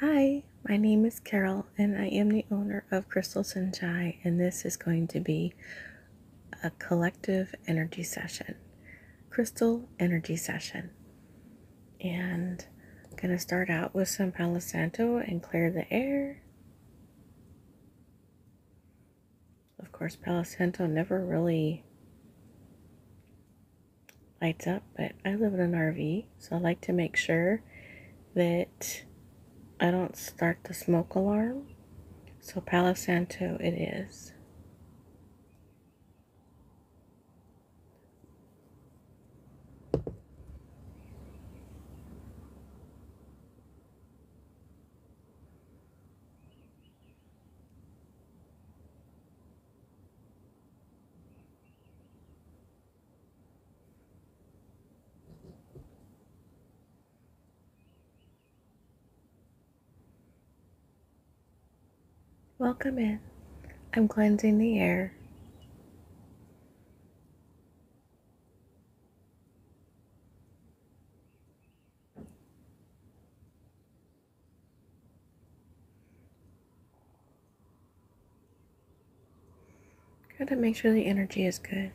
Hi, my name is Carol, and I am the owner of Crystal Sunshine, and this is going to be a collective energy session, crystal energy session. And going to start out with some Palo Santo and clear the air. Of course, Palo Santo never really lights up, but I live in an RV, so I like to make sure that I don't start the smoke alarm. So Palo Santo it is. Welcome in. I'm cleansing the air. Gotta make sure the energy is good.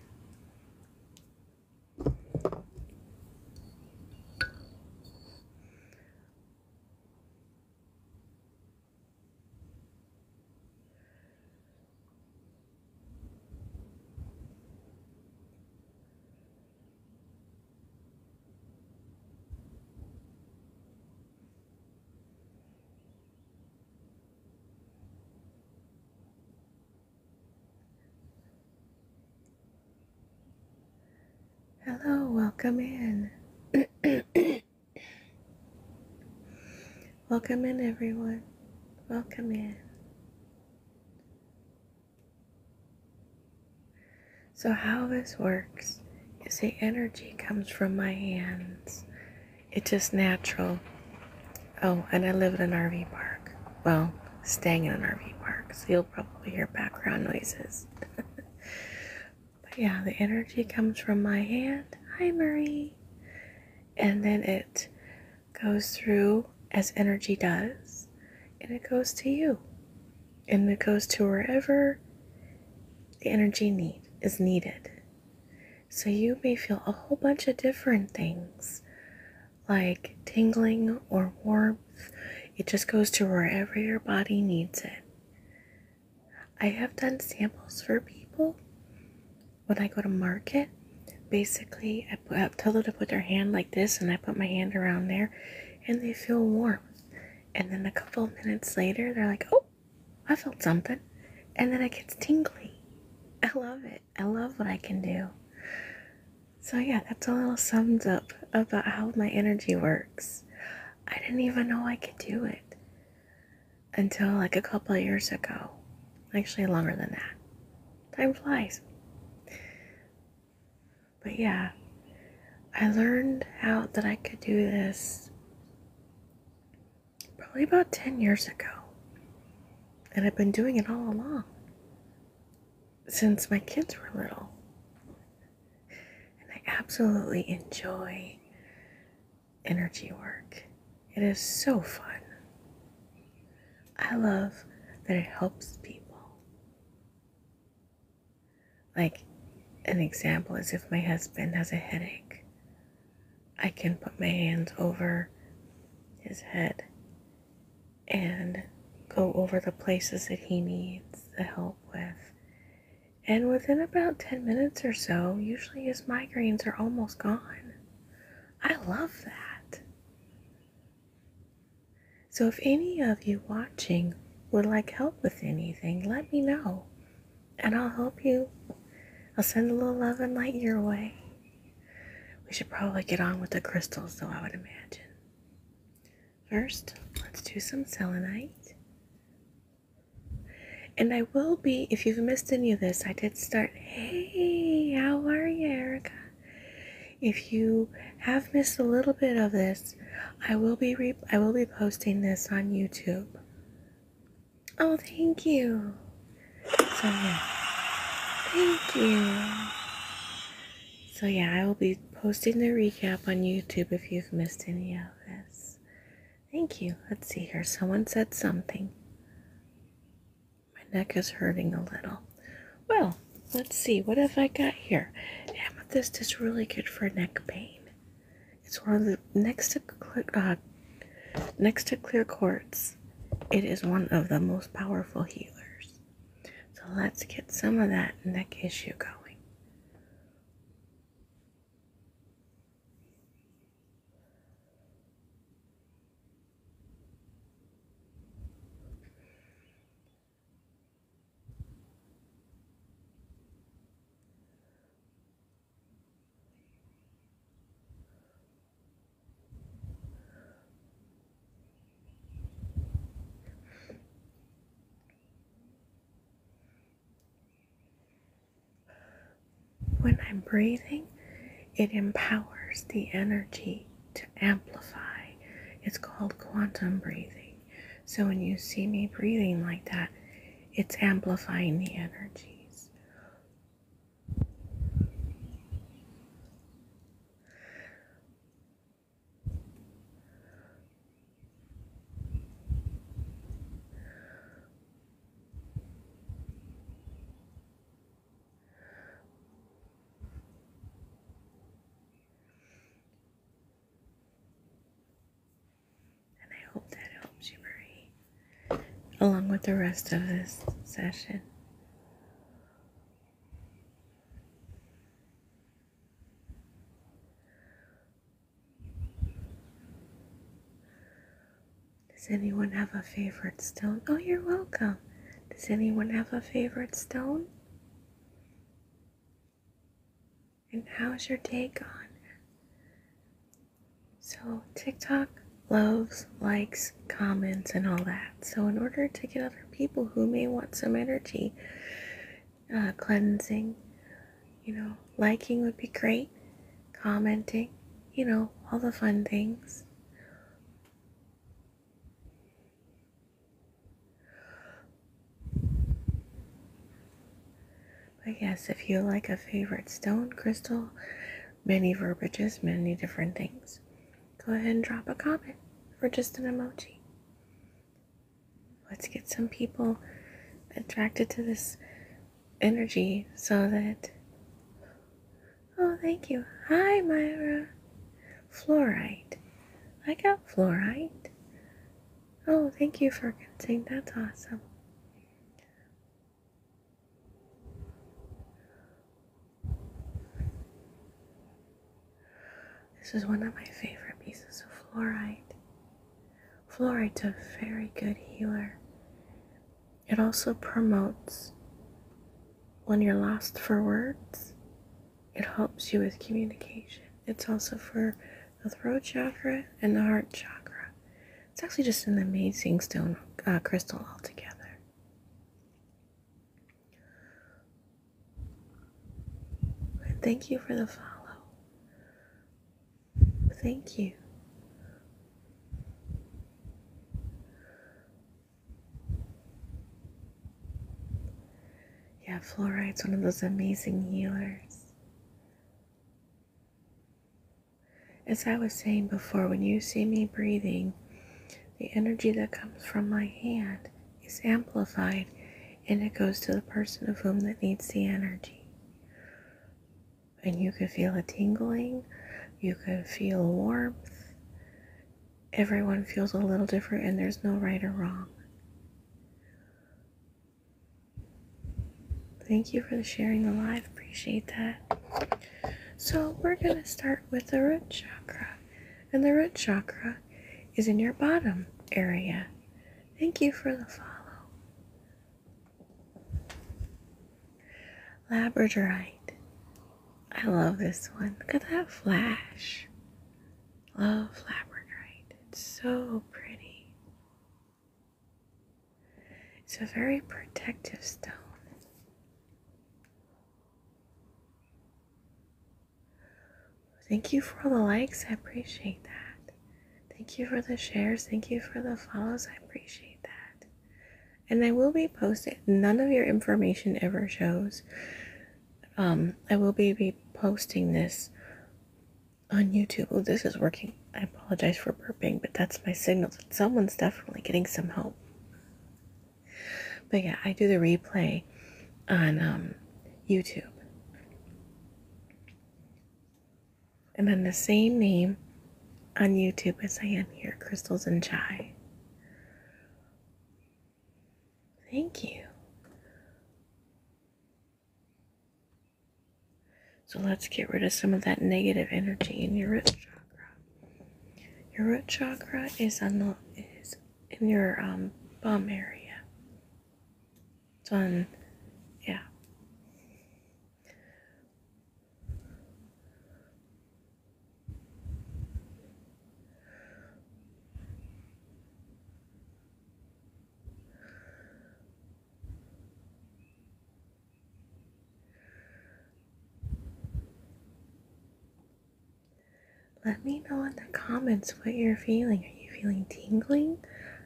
Hello, welcome in. welcome in, everyone. Welcome in. So, how this works is the energy comes from my hands. It's just natural. Oh, and I live in an RV park. Well, staying in an RV park, so you'll probably hear background noises. but yeah, the energy comes from my hand. Hi, Marie. And then it goes through as energy does, and it goes to you and it goes to wherever the energy need is needed. So you may feel a whole bunch of different things like tingling or warmth. It just goes to wherever your body needs it. I have done samples for people when I go to market. Basically, I, put, I tell them to put their hand like this, and I put my hand around there, and they feel warmth. And then a couple of minutes later, they're like, oh, I felt something. And then it gets tingly. I love it. I love what I can do. So, yeah, that's a little summed up about how my energy works. I didn't even know I could do it until like a couple years ago. Actually, longer than that. Time flies. But yeah, I learned how that I could do this probably about 10 years ago. And I've been doing it all along since my kids were little. And I absolutely enjoy energy work. It is so fun. I love that it helps people. Like an example is if my husband has a headache, I can put my hands over his head and go over the places that he needs the help with. And within about 10 minutes or so, usually his migraines are almost gone. I love that. So, if any of you watching would like help with anything, let me know and I'll help you. I'll send a little love and light your way. We should probably get on with the crystals, though, I would imagine. First, let's do some selenite. And I will be, if you've missed any of this, I did start. Hey, how are you, Erica? If you have missed a little bit of this, I will be re I will be posting this on YouTube. Oh, thank you. So yeah, thank you. So yeah, I will be posting the recap on YouTube if you've missed any of this. Thank you. Let's see here. Someone said something. My neck is hurting a little. Well, let's see. What have I got here? Amethyst is really good for neck pain. It's one of the uh, next to clear quartz. It is one of the most powerful healers. So let's get some of that neck issue going. When I'm breathing, it empowers the energy to amplify. It's called quantum breathing. So when you see me breathing like that, it's amplifying the energies. And I hope that helps you, Marie, along with the rest of this session. Does anyone have a favorite stone? Oh, you're welcome. Does anyone have a favorite stone? and how's your day gone? So, TikTok loves likes, comments, and all that. So, in order to get other people who may want some energy uh, cleansing, you know, liking would be great, commenting, you know, all the fun things. But yes, if you like a favorite stone, crystal, many verbiages, many different things, go ahead and drop a comment or just an emoji. Let's get some people attracted to this energy so that. Oh, thank you. Hi, Myra. Fluorite. I got fluorite. Oh, thank you for consenting. That's awesome. This is one of my favorite pieces of fluoride. Fluoride's a very good healer. It also promotes when you're lost for words, it helps you with communication. It's also for the throat chakra and the heart chakra. It's actually just an amazing stone uh, crystal altogether. thank you for the follow. Thank you. Yeah, fluoride's one of those amazing healers. As I was saying before, when you see me breathing, the energy that comes from my hand is amplified and it goes to the person of whom that needs the energy. And you can feel a tingling, you can feel warmth. Everyone feels a little different, and there's no right or wrong. Thank you for sharing the live. Appreciate that. So, we're going to start with the root chakra. And the root chakra is in your bottom area. Thank you for the follow. Labradorite. I love this one. Look at that flash. Love labradorite. It's so pretty. It's a very protective stone. Thank you for all the likes. I appreciate that. Thank you for the shares. Thank you for the follows. I appreciate that. And I will be posting, none of your information ever shows. Um, I will be, be posting this on YouTube. Oh, this is working. I apologize for burping, but that's my signal someone's definitely getting some help. But yeah, I do the replay on um, YouTube. And then the same name on YouTube as I am here, Crystals and Chai. Thank you. So let's get rid of some of that negative energy in your root chakra. Your root chakra is on is in your um, bum area. It's on, yeah. Let me know in the comments what you're feeling. Are you feeling tingling?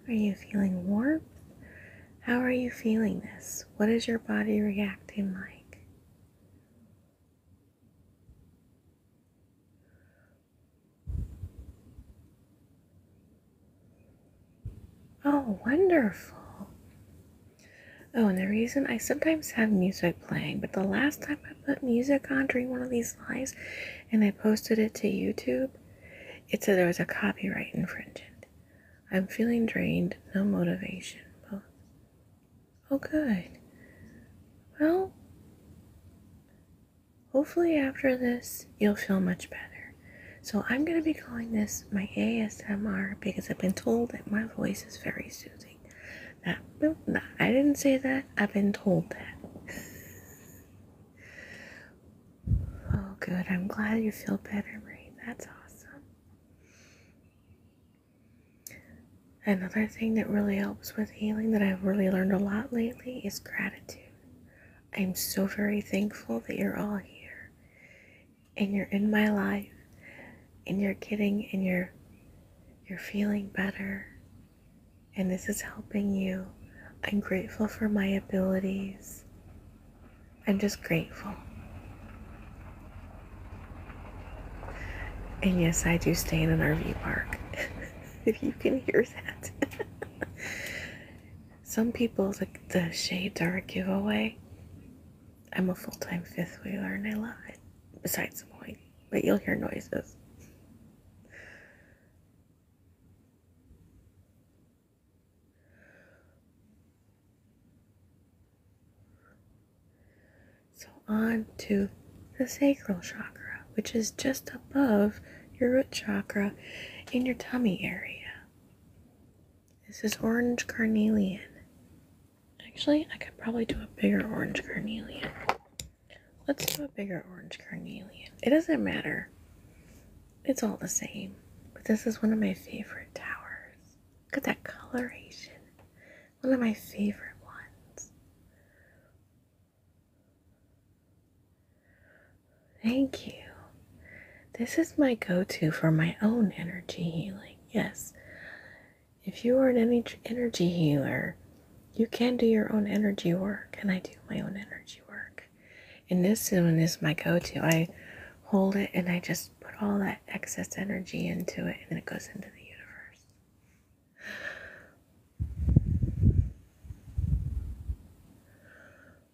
Are you feeling warmth? How are you feeling this? What is your body reacting like? Oh, wonderful. Oh, and the reason I sometimes have music playing, but the last time I put music on during one of these lives and I posted it to YouTube, it said there was a copyright infringement. I'm feeling drained, no motivation. Both. Oh, good. Well, Hopefully, after this, you'll feel much better. So, I'm going to be calling this my ASMR because I've been told that my voice is very soothing. That, no, I didn't say that, I've been told that. oh, good. I'm glad you feel better, Marie. That's awesome. Another thing that really helps with healing that I've really learned a lot lately is gratitude. I'm so very thankful that you're all here and you're in my life and you're getting and you're you're feeling better and this is helping you. I'm grateful for my abilities. I'm just grateful. And yes, I do stay in an RV park. if you can hear that. Some people, like the shades are a giveaway. I'm a full time fifth wheeler and I love besides the point, but you'll hear noises. So, on to the sacral chakra, which is just above your root chakra in your tummy area. This is orange carnelian. Actually, I could probably do a bigger orange carnelian. Let's do a bigger orange carnelian. It doesn't matter. It's all the same. But this is one of my favorite towers. Look at that coloration. One of my favorite ones. Thank you. This is my go to for my own energy healing. Yes. If you are an energy healer, you can do your own energy work, and I do my own energy work. And this one is my go to. I hold it and I just put all that excess energy into it, and it goes into the universe.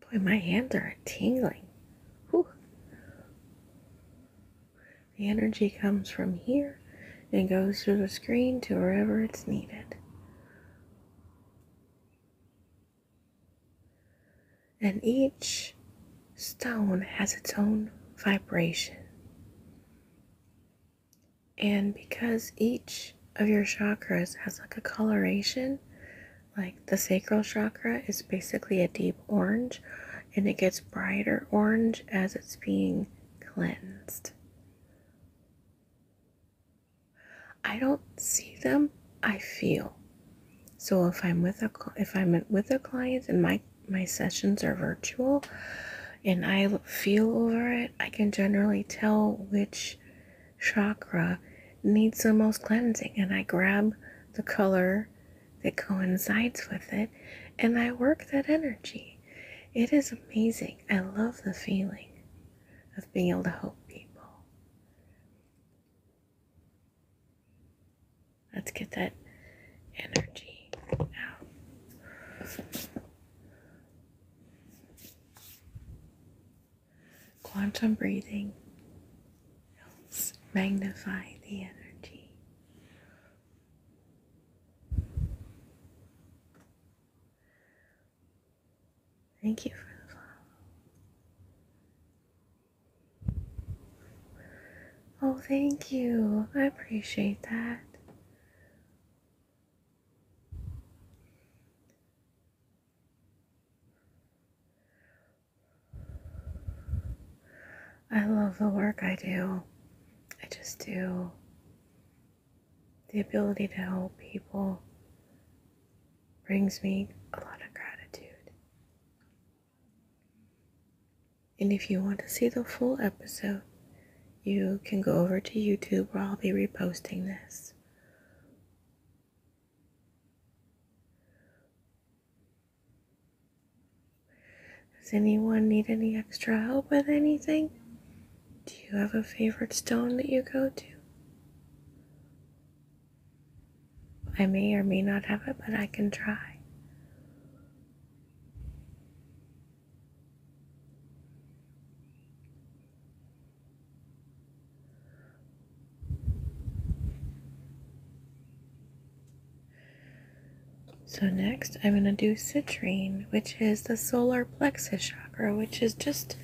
Boy, my hands are tingling. The energy comes from here and goes through the screen to wherever it's needed. And each stone has its own vibration. And because each of your chakras has like a coloration, like the sacral chakra is basically a deep orange and it gets brighter orange as it's being cleansed. I don't see them, I feel. So if I'm with a if I'm with a client and my my sessions are virtual and I feel over it, I can generally tell which chakra needs the most cleansing, and I grab the color that coincides with it and I work that energy. It is amazing. I love the feeling of being able to help people. Let's get that energy out. Quantum breathing helps magnify the energy. Thank you for the follow. Oh, thank you. I appreciate that. I love the work I do. I just do. The ability to help people brings me a lot of gratitude. And if you want to see the full episode, you can go over to YouTube where I'll be reposting this. Does anyone need any extra help with anything? Do you have a favorite stone that you go to? I may or may not have it, but I can try. So, next, I'm going to do citrine, which is the solar plexus chakra, which is just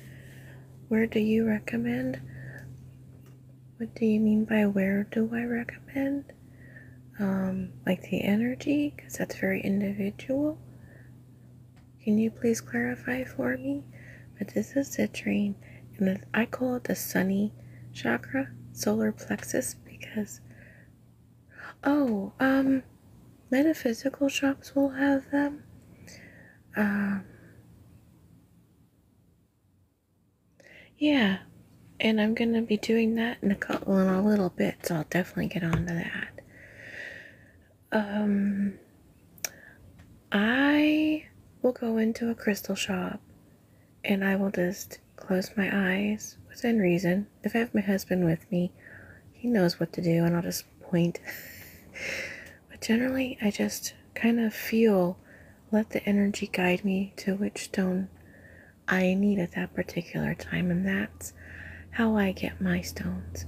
where do you recommend? What do you mean by where do I recommend? Um, like the energy, because that's very individual. Can you please clarify for me? but this is citrine, and I call it the sunny chakra, solar plexus, because oh, um, metaphysical shops will have them. Um, yeah, and I'm gonna be doing that in a couple in a little bit, so I'll definitely get on to that. Um, I will go into a crystal shop and I will just close my eyes within reason. If I have my husband with me, he knows what to do and I'll just point. but generally, I just kind of feel, let the energy guide me to which stone I need at that particular time. And that's how I get my stones.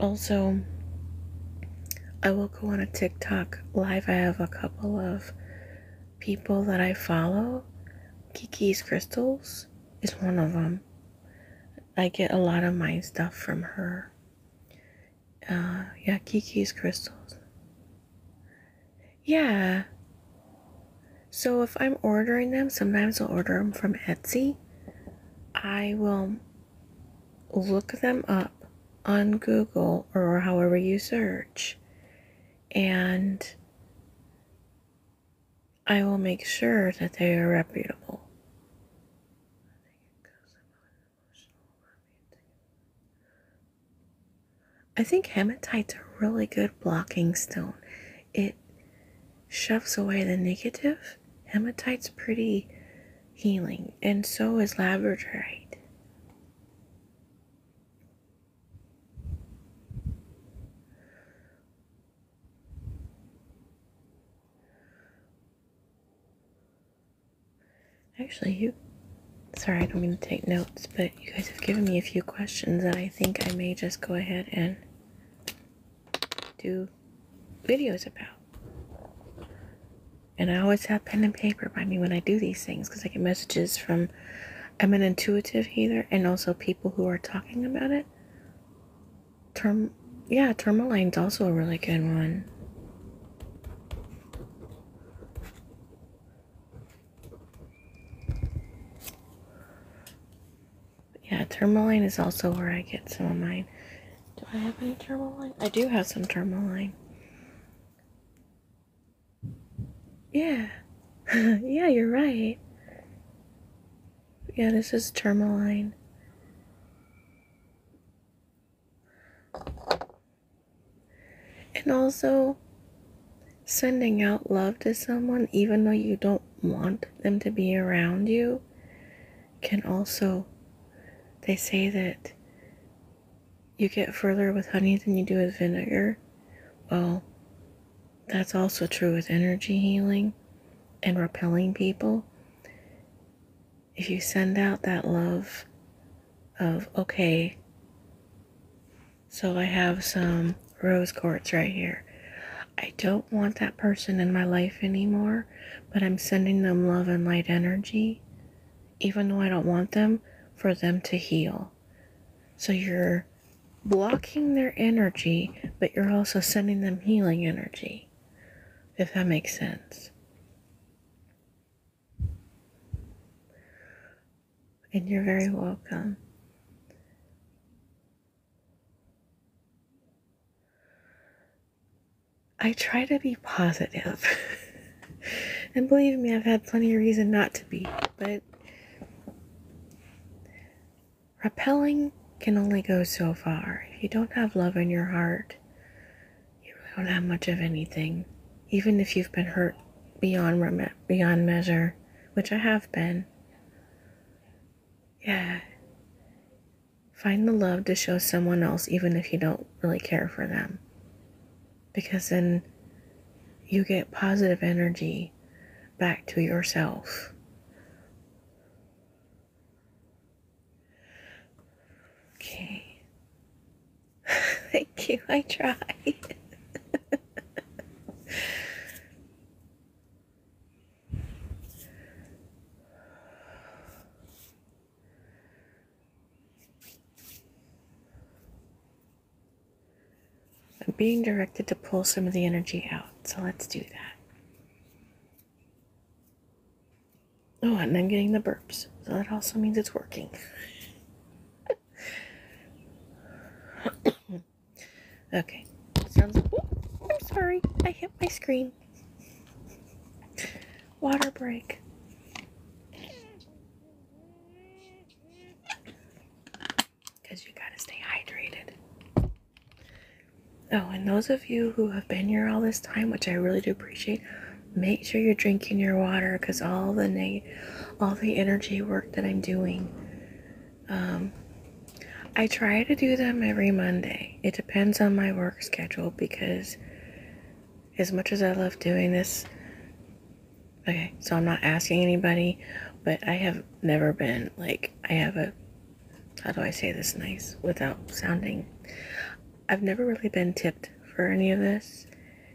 Also, I will go on a TikTok live. I have a couple of people that I follow. Kiki's Crystals is one of them. I get a lot of my stuff from her. Uh, yeah, Kiki's Crystals. Yeah. So if I'm ordering them, sometimes I'll order them from Etsy. I will look them up on Google or however you search. And I will make sure that they are reputable. I think hematite's a really good blocking stone. It shoves away the negative. Hematite's pretty healing, and so is labradorite. Actually, you. Sorry, I don't mean to take notes, but you guys have given me a few questions that I think I may just go ahead and do videos about. And I always have pen and paper by me when I do these things because I get messages from, I'm an intuitive healer and also people who are talking about it. Term, yeah, is also a really good one. Yeah, tourmaline is also where I get some of mine. Do I have any tourmaline? I do have some tourmaline. Yeah. yeah, you're right. Yeah, this is tourmaline. And also, sending out love to someone, even though you don't want them to be around you, can also, they say that you get further with honey than you do with vinegar. Well, that's also true with energy healing and repelling people. If you send out that love of, okay, so I have some rose quartz right here. I don't want that person in my life anymore, but I'm sending them love and light energy even though I don't want them, for them to heal. So you're blocking their energy, but you're also sending them healing energy, if that makes sense. And you're very welcome. I try to be and believe me, I've had plenty of reason not to be, but repelling can only go so far. If you don't have love in your heart, you don't have much of anything. Even if you've been hurt beyond beyond measure, which I have been. Yeah. Find the love to show someone else even if you don't really care for them because then you get positive energy back to yourself. Okay. Thank you. I try. I'm being directed to pull some of the energy out, so let's do that. Oh, and I'm getting the burps, so that also means it's working. okay, sounds. Oh, I'm sorry, I hit my screen. Water break. Because you gotta stay hydrated. Oh, and those of you who have been here all this time, which I really do appreciate, make sure you're drinking your water because all the neg- all the energy work that I'm doing. Um, I try to do them every Monday. It depends on my work schedule because as much as I love doing this, okay, so I'm not asking anybody, but I have never been like, I have a, how do I say this nice without sounding? I've never really been tipped for any of this.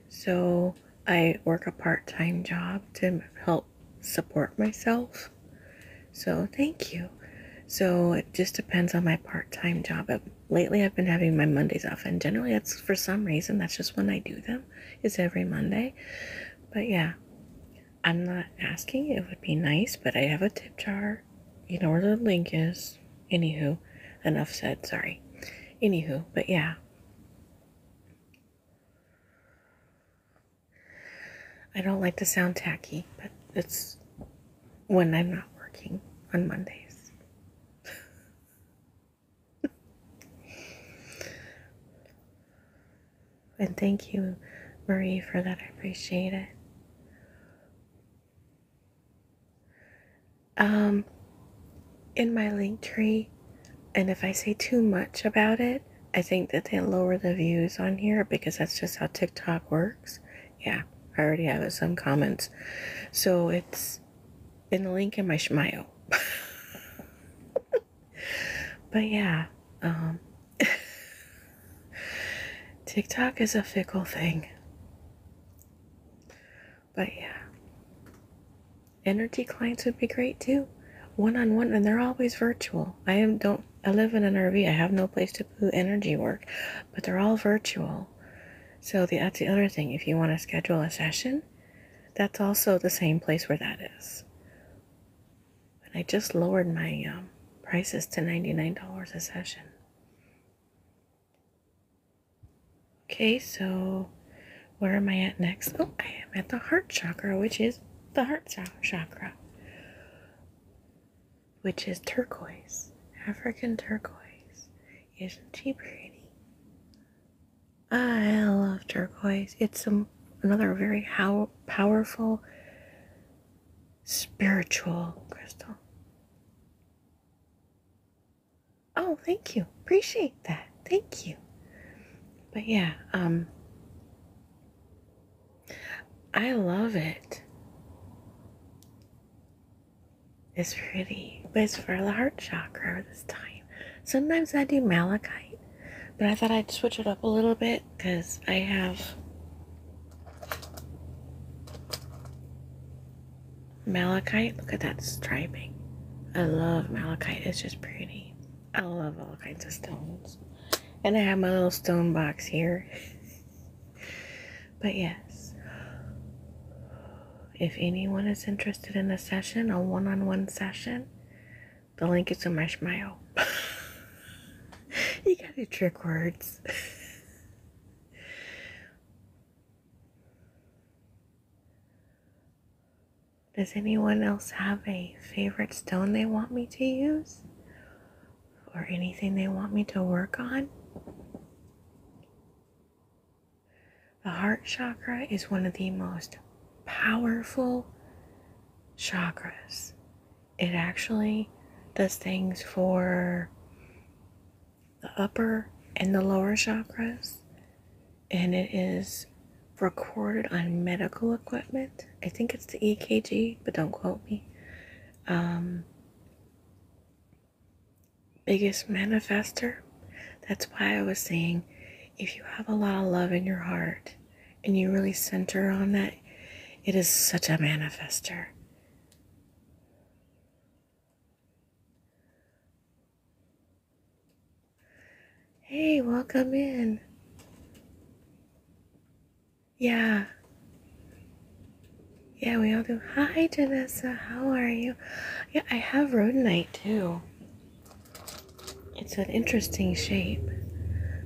So I work a part time job to help support myself. So thank you. So it just depends on my part time job lately I've been having my Mondays off, and generally that's for some reason that's just when I do them. It's every Monday, but yeah, I'm not asking. It would be nice, but I have a tip jar. You know where the link is. Anywho, enough said. Sorry. Anywho, but yeah. I don't like to sound tacky, but it's when I'm not working on Mondays. and thank you, Marie, for that. I appreciate it. Um, in my link tree, and if I say too much about it, I think that they lower the views on here because that's just how TikTok works. Yeah, I already have some comments. So it's in the link in my schmio. but yeah, um, TikTok is a fickle thing. But yeah, energy clients would be great too, one on one, and they're always virtual. I am don't I live in an RV. I have no place to do energy work, but they're all virtual. So that's the other thing. If you want to schedule a session, that's also the same place where that is. But I just lowered my um, prices to $99 a session. Okay, so where am I at next? Oh, I am at the heart chakra, which is the heart chakra, which is turquoise, African turquoise. Isn't she pretty? I love turquoise. It's some, another very how, powerful spiritual crystal. Oh, thank you. Appreciate that. Thank you. But yeah, um I love it. It's pretty, but it's for the heart chakra this time. Sometimes I do malachite, but I thought I'd switch it up a little bit because I have malachite. Look at that striping. I love malachite, it's just pretty. I love all kinds of stones. And I have my little stone box here. but yes if anyone is interested in a session, a one on one session, the link is in my smile. you got to trick words. Does anyone else have a favorite stone they want me to use? Or anything they want me to work on? The heart chakra is one of the most powerful chakras. It actually does things for the upper and the lower chakras, and it is recorded on medical equipment. I think it's the EKG, but don't quote me. Um, biggest manifester. That's why I was saying if you have a lot of love in your heart and you really center on that, it is such a manifester. Hey, welcome in. Yeah. Yeah, we all do. Hi, Janessa. How are you? Yeah, I have rhodonite too. It's an interesting shape,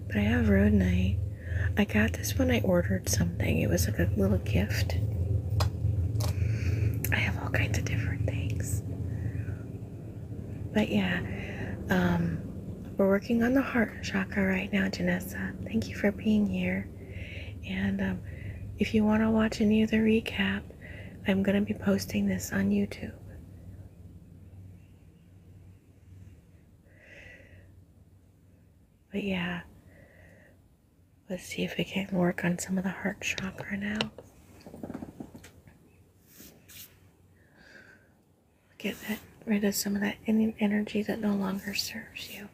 but I have rhodonite. I got this when I ordered something. It was like a little gift. I have all kinds of different things. But yeah, um, we're working on the heart chakra right now, Janessa. Thank you for being here. And um, if you want to watch any of the recap, I'm going to be posting this on YouTube. But yeah, let's see if we can work on some of the heart chakra now. Get that, rid of some of that energy that no longer serves you.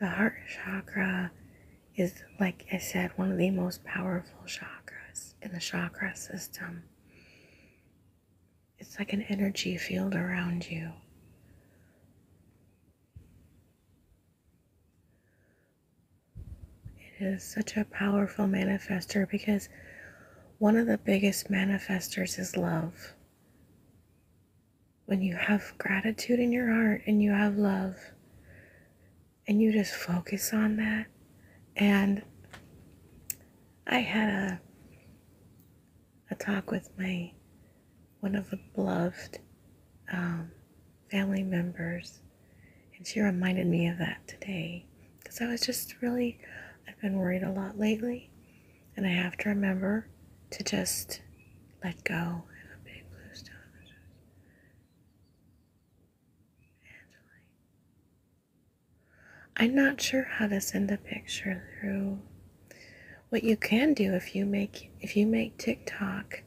The heart chakra is, like I said, one of the most powerful chakras in the chakra system. It's like an energy field around you. It is such a powerful manifester because one of the biggest manifestors is love. When you have gratitude in your heart and you have love, and you just focus on that. And I had a a talk with my one of the beloved um, family members and she reminded me of that today because I was just really, I've been worried a lot lately. And I have to remember to just let go I'm not sure how to send a picture through. What you can do if you make if you make TikTok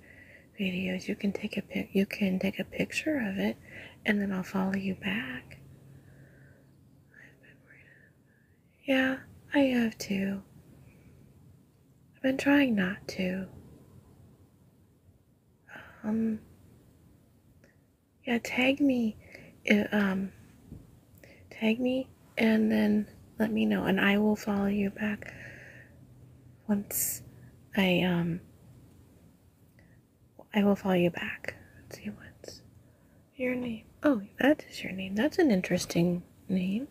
videos, you can take a pic you can take a picture of it and then I'll follow you back. Yeah, I have to. I've been trying not to. Um, yeah, tag me, um, tag me, and then let me know, and I will follow you back once I, um, I will follow you back. see what's your name. Oh, that is your name. That's an interesting name.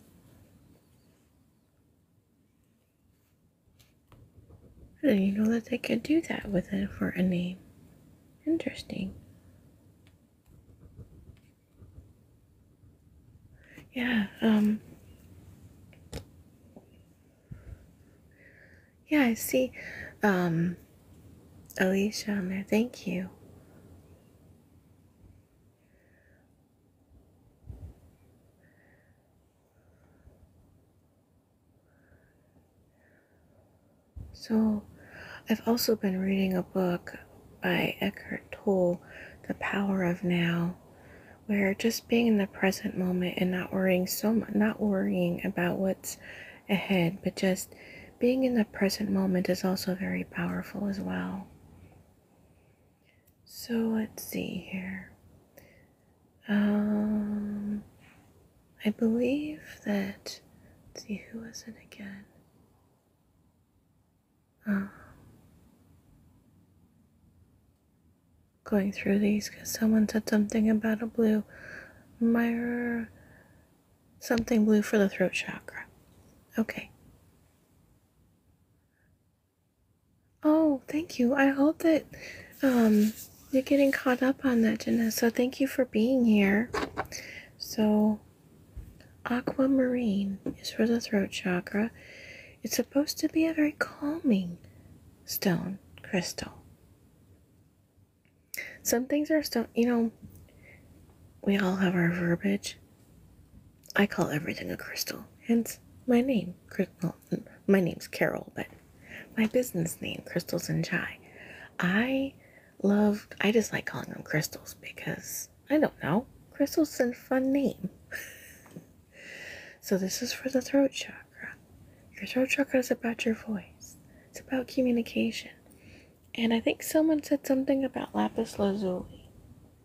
I didn't know that they could do that with it for a name. Interesting. Yeah, um yeah, I see. Um, Alicia on there. Thank you. So, I've also been reading a book by Eckhart Tolle, The Power of Now, where just being in the present moment and not worrying so much, not worrying about what ahead, but just being in the present moment is also very powerful as well. So let's see here. Um, I believe that. Let's see who was it again. Um, going through these because someone said something about a blue mirror, something blue for the throat chakra. Okay. Oh, thank you. I hope that um, you're getting caught up on that, Jenna. So Thank you for being here. So, aquamarine is for the throat chakra. It's supposed to be a very calming stone crystal. Some things are so, you know, we all have our verbiage. I call everything a crystal, hence my name, Crystal. Well, my name's Carol, but my business name, Crystals and Chai. I love, I just like calling them crystals because I don't know, crystals is a fun name. so this is for the throat chakra chakra. Your throat chakra is about your voice, it's about communication. And I think someone said something about lapis lazuli.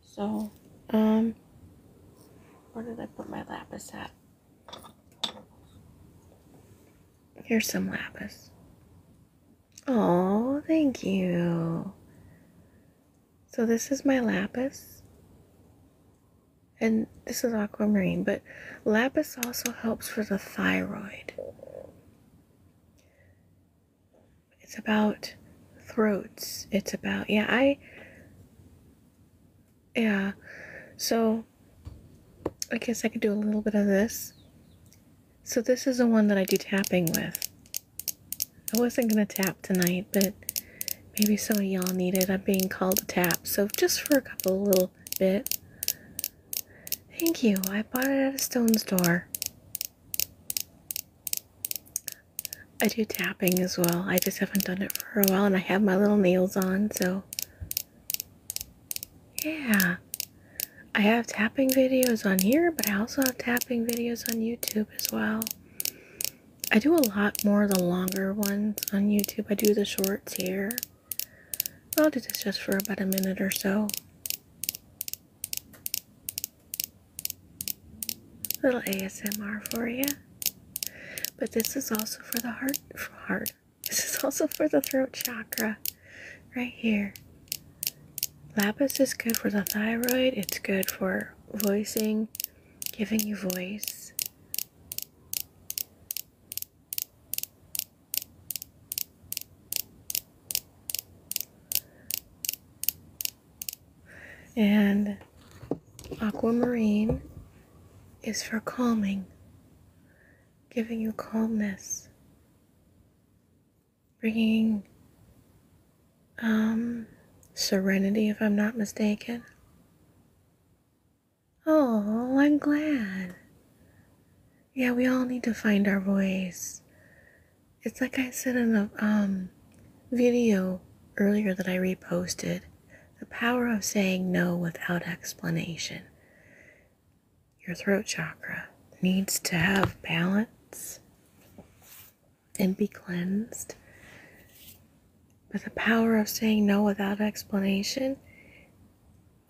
So, um, where did I put my lapis at? Here's some lapis. Oh, thank you. So, this is my lapis and this is aquamarine, but lapis also helps for the thyroid. It's about throats. It's about, yeah, I, yeah, so I guess I could do a little bit of this. So this is the one that I do tapping with. I wasn't going to tap tonight, but maybe some of y'all need it. I'm being called to tap. So just for a couple little bit. Thank you. I bought it at a stone store. I do tapping as well. I just haven't done it for a while and I have my little nails on, so yeah. I have tapping videos on here, but I also have tapping videos on YouTube as well. I do a lot more the longer ones on YouTube. I do the shorts here. I'll do this just for about a minute or so. little ASMR for you. But this is also for the heart, heart. This is also for the throat chakra, right here. Lapis is good for the thyroid. It's good for voicing, giving you voice. And aquamarine is for calming, giving you calmness, bringing um, serenity, if I'm not mistaken. Oh, I'm glad. Yeah, we all need to find our voice. It's like I said in the um, video earlier that I reposted the power of saying no without explanation. Your throat chakra needs to have balance and be cleansed. But the power of saying no without explanation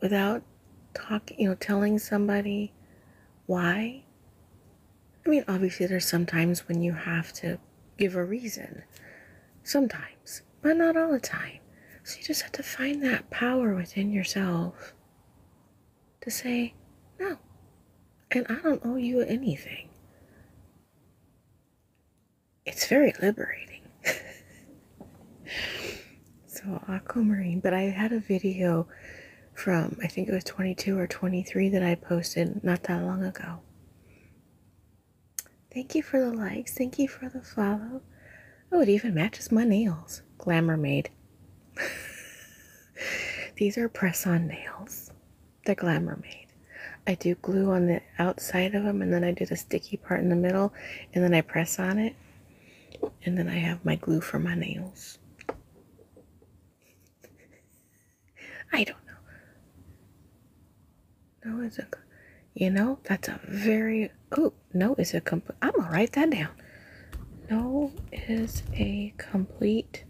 without talking, you know, telling somebody why. I mean, obviously, there's sometimes when you have to give a reason, sometimes, but not all the time. So you just have to find that power within yourself to say, no, and I don't owe you anything it's very liberating. so, aquamarine. But I had a video from, I think it was 22 or 23 that I posted not that long ago. Thank you for the likes. Thank you for the follow. Oh, it even matches my nails. Glamour Made. These are press on nails. They're Glamour Made. I do glue on the outside of them and then I do the sticky part in the middle and then I press on it and then I have my glue for my nails. I don't know. No, it's a, you know, that's a very, oh, no it's a complete, I'm gonna write that down. No is a complete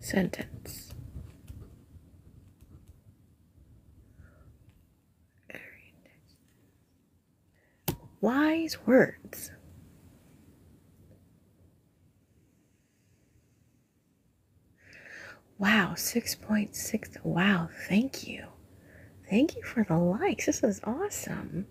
sentence. Wise words. Wow, 6.6. wow, thank you. Thank you for the likes. This is awesome.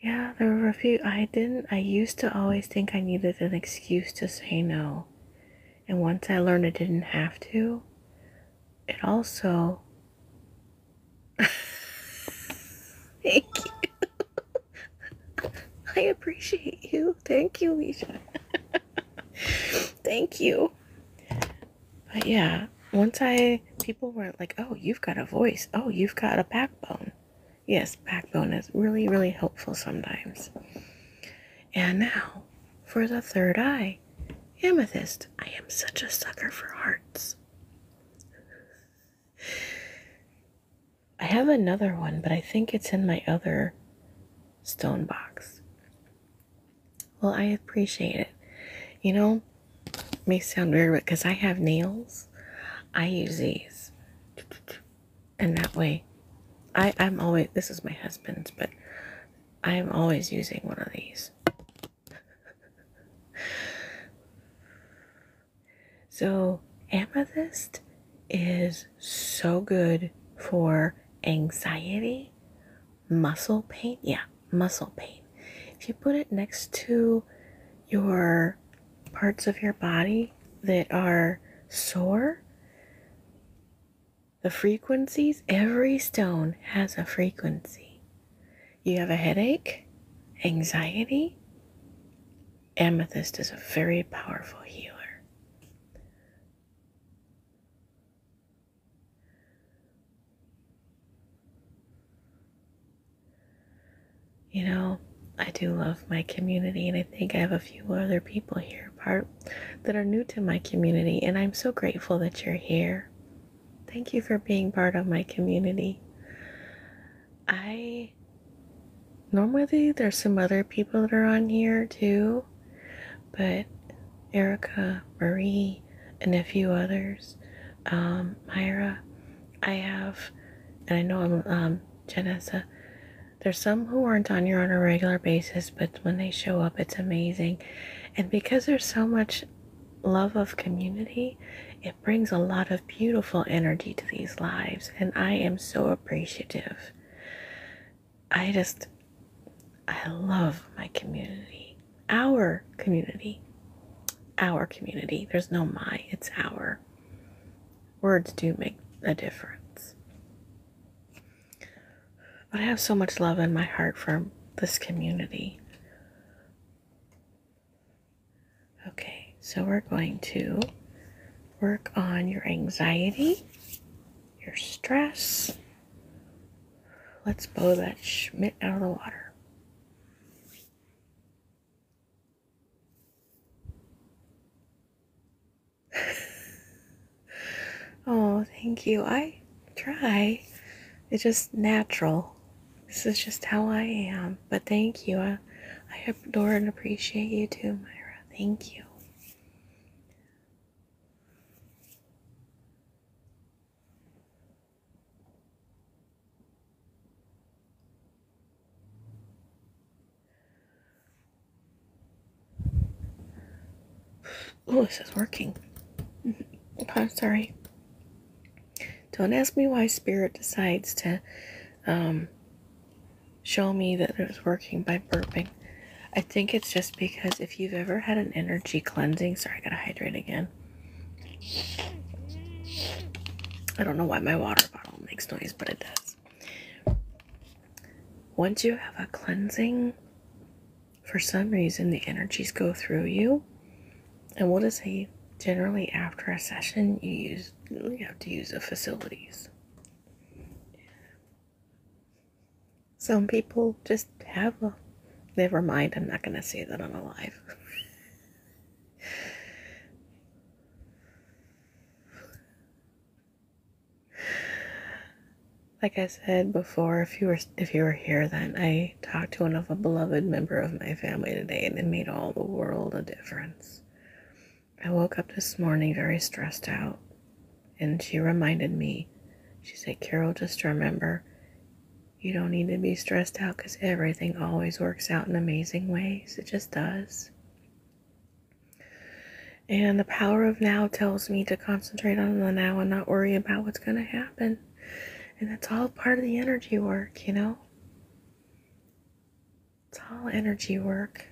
Yeah, there were a few. I didn't. I used to always think I needed an excuse to say no. And once I learned I didn't have to, it also. Thank you. I appreciate you. Thank you, Lisa. Thank you. But yeah, once I. People were like, oh, you've got a voice. Oh, you've got a backbone. Yes, backbone is really, really helpful sometimes. And now for the third eye amethyst. I am such a sucker for hearts. I have another one, but I think it's in my other stone box. Well, I appreciate it. You know, may sound weird but because I have nails. I use these. And that way, I, I'm always, this is my husband's, but I'm always using one of these. so, amethyst is so good for anxiety, muscle pain. Yeah, muscle pain. If you put it next to your parts of your body that are sore, the frequencies, every stone has a frequency. You have a headache, anxiety. Amethyst is a very powerful healer. You know, I do love my community, and I think I have a few other people here part that are new to my community, and I'm so grateful that you're here. Thank you for being part of my community. I normally there's some other people that are on here too, but Erica, Marie, and a few others, um, Myra, I have, and I know I'm um, Janessa, there's some who aren't on here on a regular basis, but when they show up, it's amazing. And because there's so much love of community, it brings a lot of beautiful energy to these lives. And I am so appreciative. I just, I love my community, our community, our community. There's no my, it's our words do make a difference. But I have so much love in my heart for this community. Okay, so we're going to work on your anxiety, your stress. Let's blow that schmit out of the water. oh, thank you. I try. It's just natural. This is just how I am. But thank you. I, adore and appreciate you too, Myra. Thank you. Oh, this is working. I'm sorry. Don't ask me why Spirit decides to um, show me that it was working by burping. I think it's just because if you've ever had an energy cleansing, sorry, I gotta hydrate again. I don't know why my water bottle makes noise, but it does. Once you have a cleansing, for some reason the energies go through you. And we'll just say generally after a session you use you have to use the facilities. Some people just have a never mind, I'm not gonna say that I'm alive. Like I said before, if you were if you were here then, I talked to one of a beloved member of my family today and it made all the world a difference. I woke up this morning very stressed out and she reminded me. She said, "Carol, just remember, you don't need to be stressed out cuz everything always works out in amazing ways. It just does." And the power of now tells me to concentrate on the now and not worry about what's going to happen. And that's all part of the energy work, you know? It's all energy work.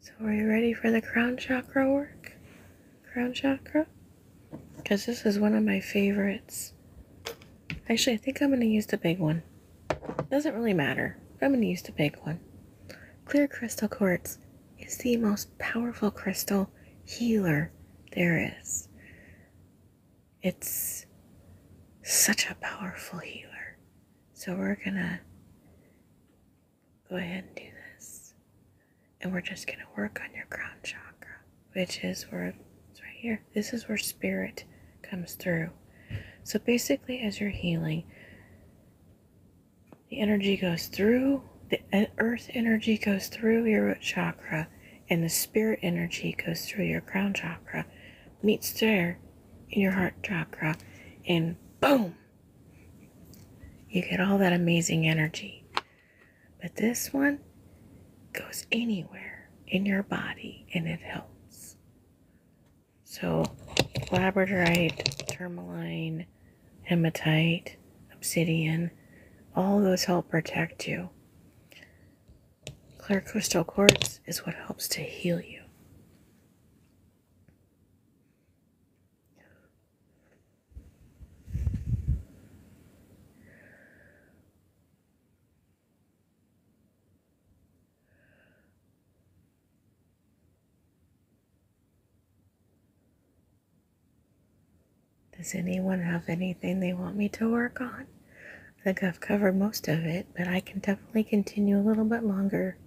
So, are you ready for the crown chakra work? crown chakra because this is one of my favorites. Actually, I think I'm going to use the big one. Doesn't really matter. I'm going to use the big one. Clear crystal quartz is the most powerful crystal healer there is. It's such a powerful healer. So we're going to go ahead and do this and we're just going to work on your crown chakra, which is where it's right here. This is where spirit comes through. So basically, as you're healing, the energy goes through, the earth energy goes through your root chakra, and the spirit energy goes through your crown chakra, meets there in your heart chakra, and boom, you get all that amazing energy. But this one goes anywhere in your body and it helps. So, labradorite, tourmaline, hematite, obsidian, all those help protect you. Clear crystal quartz is what helps to heal you. Does anyone have anything they want me to work on? I think I've covered most of it, but I can definitely continue a little bit longer.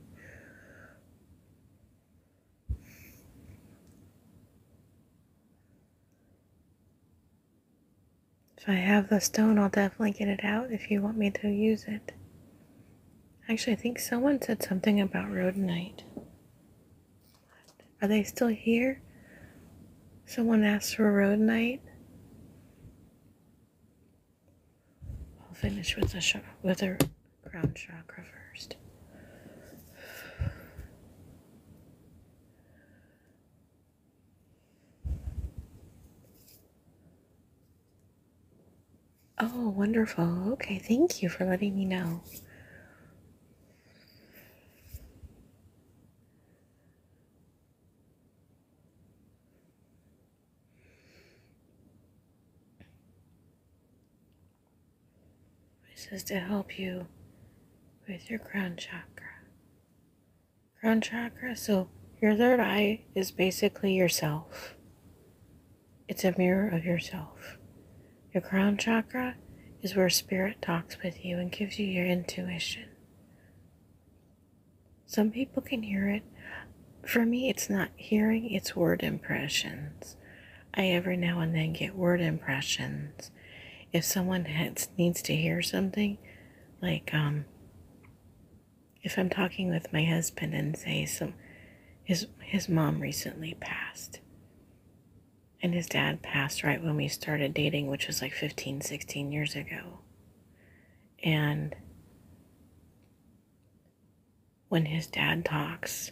If I have the stone, I'll definitely get it out if you want me to use it. Actually, I think someone said something about rhodonite. Are they still here? Someone asked for rhodonite. I'll finish with the crown chakra first. Oh, wonderful. Okay, thank you for letting me know. This is to help you with your crown chakra. Crown chakra, so your third eye is basically yourself. It's a mirror of yourself. Your crown chakra is where spirit talks with you and gives you your intuition. Some people can hear it. For me, it's not hearing, it's word impressions. I every now and then get word impressions if someone needs to hear something, like um, if I'm talking with my husband and say some, his his mom recently passed, and his dad passed right when we started dating, which was like 15, 16 years ago, and when his dad talks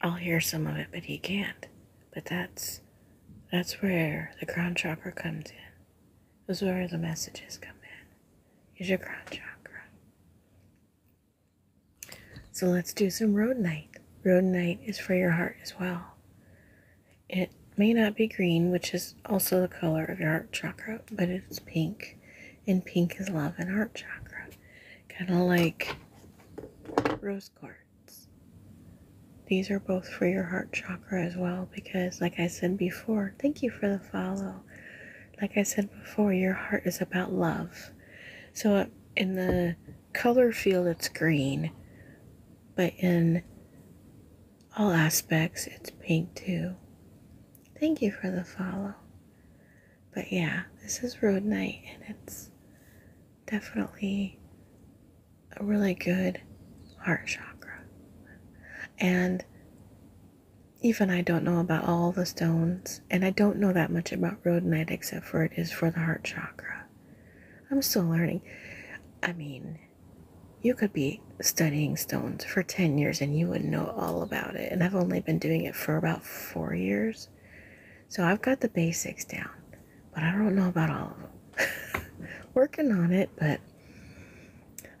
I'll hear some of it, but he can't. But that's that's where the crown chakra comes in. That's where the messages come in. Is your crown chakra. So let's do some road night. Road night is for your heart as well. It may not be green, which is also the color of your heart chakra, but it's pink. And pink is love and heart chakra. Kind of like rose Cards. These are both for your heart chakra as well because, like I said before, thank you for the follow. Like I said before, your heart is about love. So in the color field, it's green, but in all aspects, it's pink too. Thank you for the follow. But yeah, this is Road Night and it's definitely a really good heart chakra. And even I don't know about all the stones, and I don't know that much about rhodonite except for it is for the heart chakra. I'm still learning. I mean, you could be studying stones for 10 years and you would know all about it. And I've only been doing it for about four years. So I've got the basics down but I don't know about all of them. Working on it, but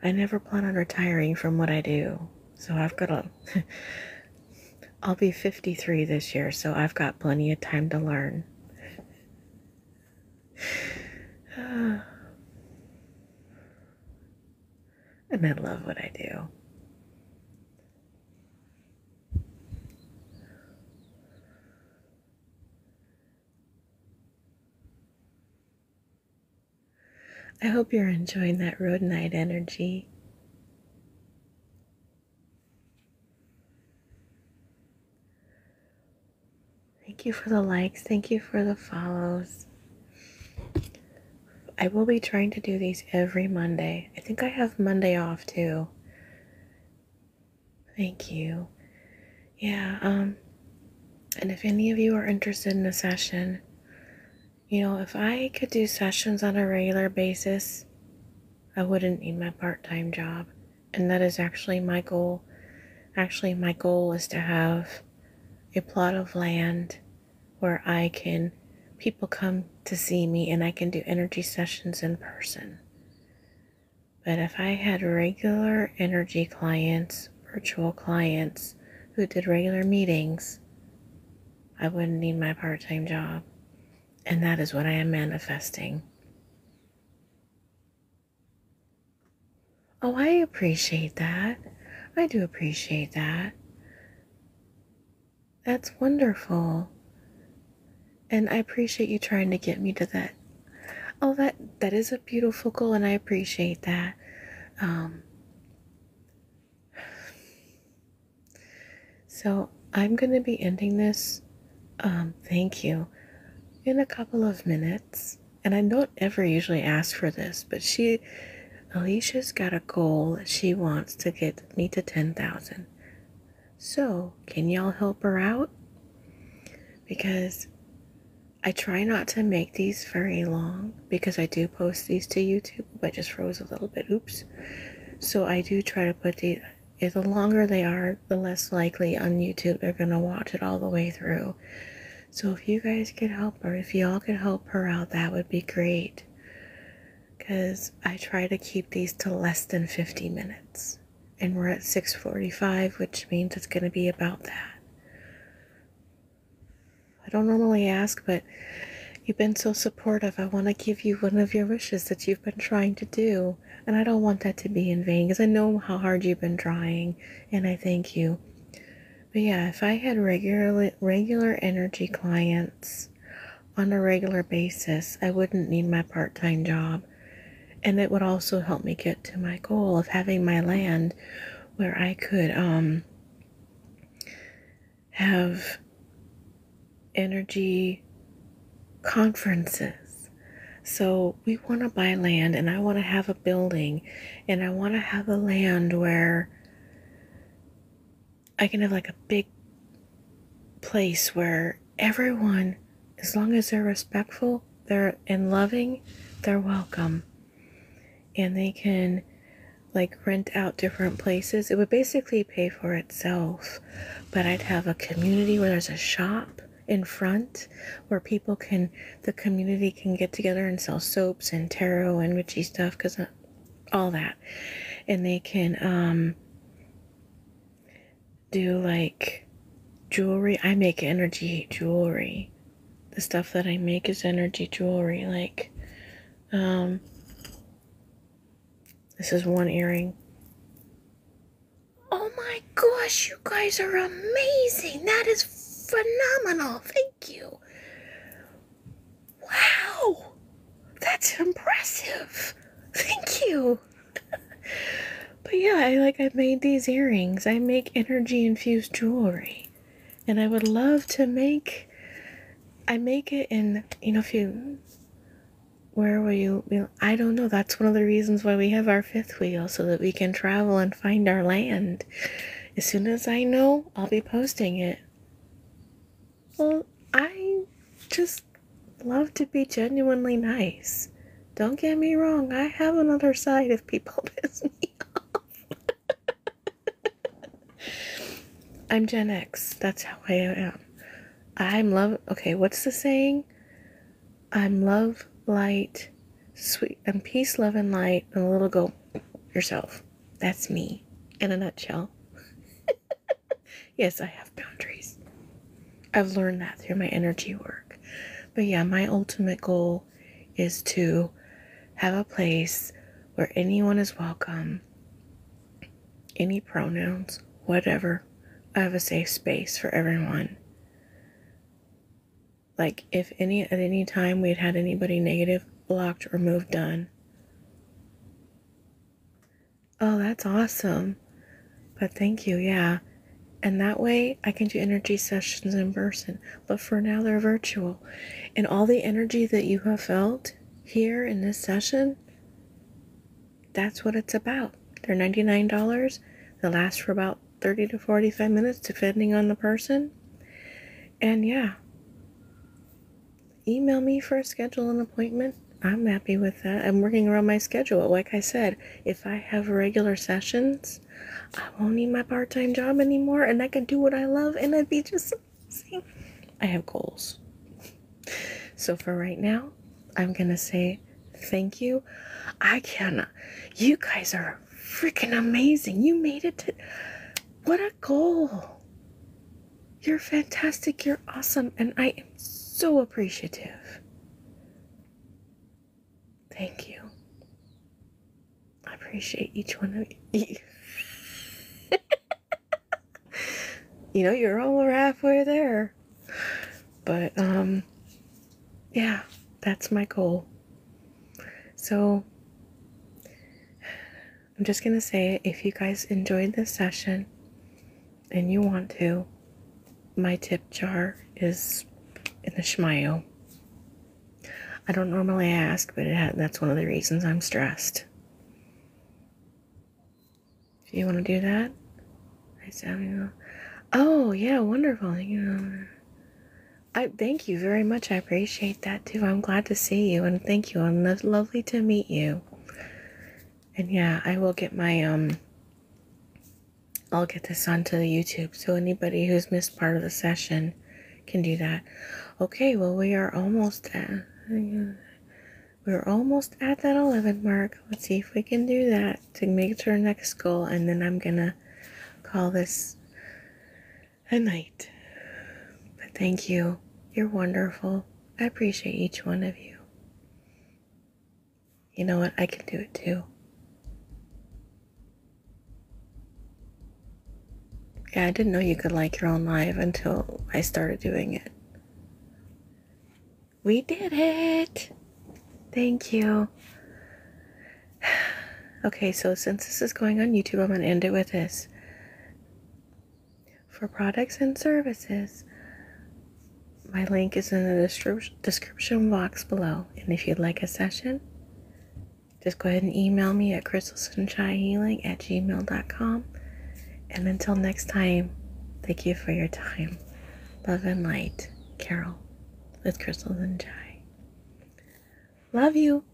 I never plan on retiring from what I do. So I've got a. I'll be 53 this year, so I've got plenty of time to learn. and I love what I do. I hope you're enjoying that road night energy. Thank you for the likes. Thank you for the follows. I will be trying to do these every Monday. I think I have Monday off too. Thank you. Yeah, um, and if any of you are interested in a session, you know, if I could do sessions on a regular basis, I wouldn't need my part-time job. And that is actually my goal. Actually, my goal is to have a plot of land where I can people come to see me and I can do energy sessions in person. But if I had regular energy clients, virtual clients who did regular meetings, I wouldn't need my part time job. And that is what I am manifesting. Oh, I appreciate that. I do appreciate that. That's wonderful and I appreciate you trying to get me to that. Oh, that that is a beautiful goal, and I appreciate that. Um, so I'm gonna be ending this. Um, thank you. In a couple of minutes, and I don't ever usually ask for this, but she, Alicia's got a goal. She wants to get me to ten thousand. So, can y'all help her out? Because I try not to make these very long because I do post these to YouTube, but just froze a little bit. Oops. So, I do try to put these. The longer they are, the less likely on YouTube they're going to watch it all the way through. So, if you guys could help her, if y'all could help her out, that would be great because I try to keep these to less than 50 minutes and we're at 6:45, which means it's going to be about that. I don't normally ask, but you've been so supportive. I want to give you one of your wishes that you've been trying to do, and I don't want that to be in vain because I know how hard you've been trying, and I thank you. But yeah, if I had regular regular energy clients, on a regular basis, I wouldn't need my part time job. And it would also help me get to my goal of having my land where I could um, have energy conferences. So we want to buy land, and I want to have a building, and I want to have a land where I can have like a big place where everyone, as long as they're respectful, they're and loving, they're welcome. And they can like rent out different places. It would basically pay for itself. But I'd have a community where there's a shop in front where people can the community can get together and sell soaps and tarot and witchy stuff cuz uh, all that. And they can um, do like jewelry. I make energy jewelry. The stuff that I make is energy jewelry. Like, um, this is one earring. Oh my gosh, you guys are amazing. That is phenomenal. Thank you. Wow. That's impressive. Thank you but yeah, I like I made these earrings. I make energy infused jewelry. And I would love to make I make it in you know if you where will you, be? I don't know. That's one of the reasons why we have our fifth wheel so that we can travel and find our land. As soon as I know, I'll be posting it. Well, I just love to be genuinely nice. Don't get me wrong, I have another side if people piss me off. I'm Gen X. That's how I am. I'm love. Okay, what's the saying? I'm love, light, sweet, I'm peace, love, and light, and a little go yourself. That's me in a nutshell. Yes, I have boundaries. I've learned that through my energy work. But yeah, my ultimate goal is to have a place where anyone is welcome, any pronouns, whatever. I have a safe space for everyone. Like if any at any time we had had anybody negative, blocked, or moved done. Oh, that's awesome. But thank you, yeah. And that way I can do energy sessions in person. But for now, they're virtual. And all the energy that you have felt here in this session, that's what it's about. They're $99. They last for about 30 to 45 minutes, depending on the person. And yeah, email me for a schedule an appointment. I'm happy with that. I'm working around my schedule. Like I said, if I have regular sessions, I won't need my part time job anymore and I can do what I love and I'd be just I have goals. So for right now, I'm going to say thank you. I cannot. You guys are freaking amazing. You made it to. What a goal! You're fantastic. You're awesome. And I am so appreciative. Thank you. I appreciate each one of you. you know, you're almost halfway there. But, um, yeah, that's my goal. So, I'm just going to say if you guys enjoyed this session, and you want to, my tip jar is in the Shmayo. I don't normally ask, but that's one of the reasons I'm stressed. Do you want to do that, I sound Oh yeah, wonderful. I thank you very much. I appreciate that too. I'm glad to see you, and thank you, and lo- lovely to meet you. And yeah, I will get my um I'll get this onto the YouTube so anybody who's missed part of the session can do that. Okay, well we are almost at we're almost at that 11 mark. Let's see if we can do that to make it to our next goal and then I'm going to call this a night. But thank you. You're wonderful. I appreciate each one of you you know what? I can do it too. Yeah, I didn't know you could like your own live until I started doing it. We did it! Thank you. Okay, so since this is going on YouTube, I'm going to end it with this. For products and services, my link is in the description box below. And if you'd like a session, just go ahead and email me at crystalsunshinehealing at gmail.com. And until next time, thank you for your time. Love and light, Carol with crystals and Chai. Love you.